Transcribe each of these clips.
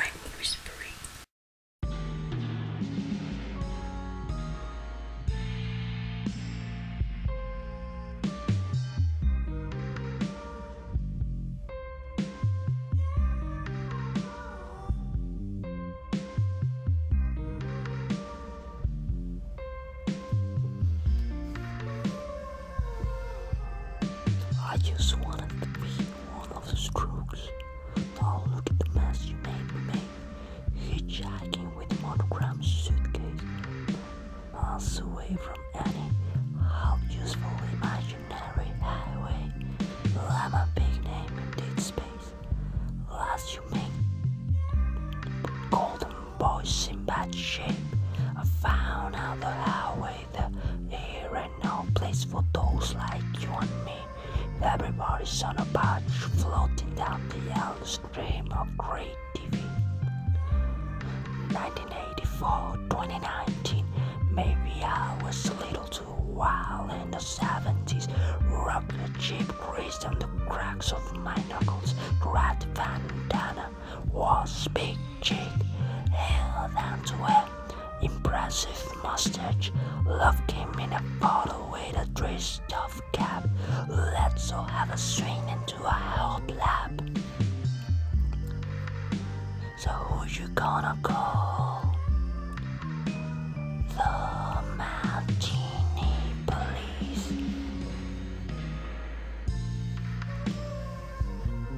I'm whispering. I just wanted to be one of the strokes. Now oh, look at the mess you made hitchhiking with monogram suitcase, miles away from any half useful imaginary highway. I'm a big name in indeed space. Last you make golden boys in bad shape. I found out the highway that here and no place for those like you and me. Everybody's on a barge floating down the yellow stream of great TV. 1984 2019, maybe I was a little too wild in the 70s. Rock the chip grease on the cracks of my knuckles. Rat bandana was big cheek, held to a impressive mustache. Love him in a bottle with a dress stuff. Let's all have a swing into a help lap. So who's you gonna call? The Martini Police.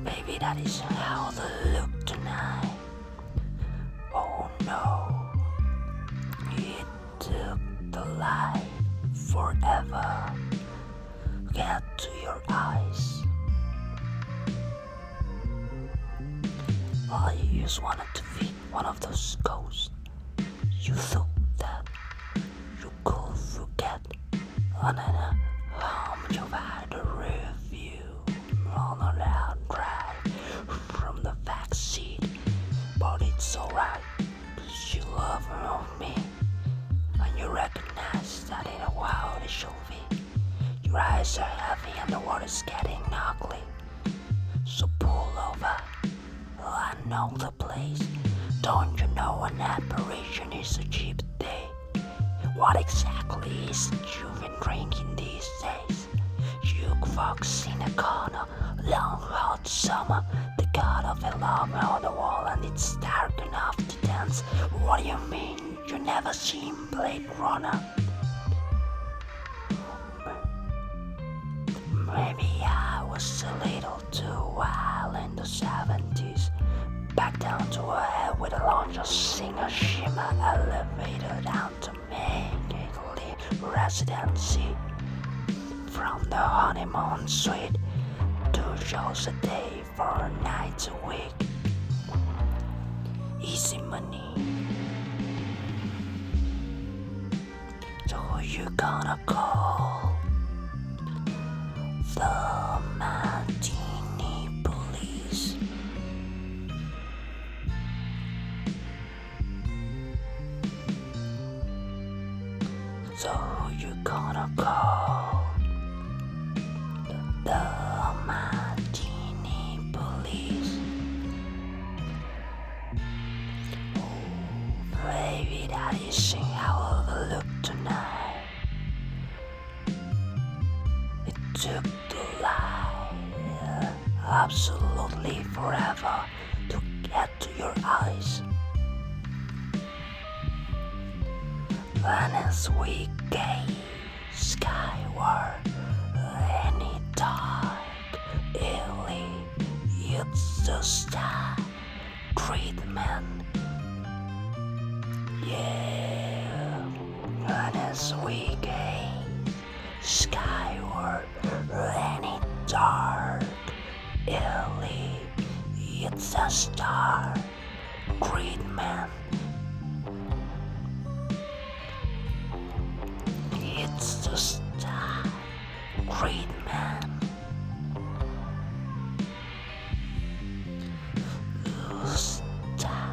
Baby, that is how they look tonight. Oh no took the light forever. Get to your eyes. While just wanted to be one of those ghosts, you thought that you could forget on an home you've had a review on a loud from the back seat but it's alright, because you love more me. And you recognize that in a while it should be. Your eyes are heavy and the water's getting ugly. So pull over. I know the place. Don't you know an apparition is a cheap day? What exactly is you've been drinking these days? Jukebox in a corner, long hot summer, the god of alarm on the wall, and it's dark enough to dance. What do you mean you never seen Blade Runner? Maybe I was a little too wild in the 70s. Back down to a head with a launcher, singer, shimmer, elevator down. To and mainly residency. From the honeymoon suite, to shows a day for nights a week. Easy money. So you gonna call? The Martini Police. So you're gonna call the Martini police. Oh, baby, that is sing I overlooked tonight. It took to lie absolutely forever to get to your eyes. Then as we gaze skyward, any dark, illy, it's the star treatment. Yeah on a sweet skyward running dark, early, it's a star, great man. It's a star, great man. Star,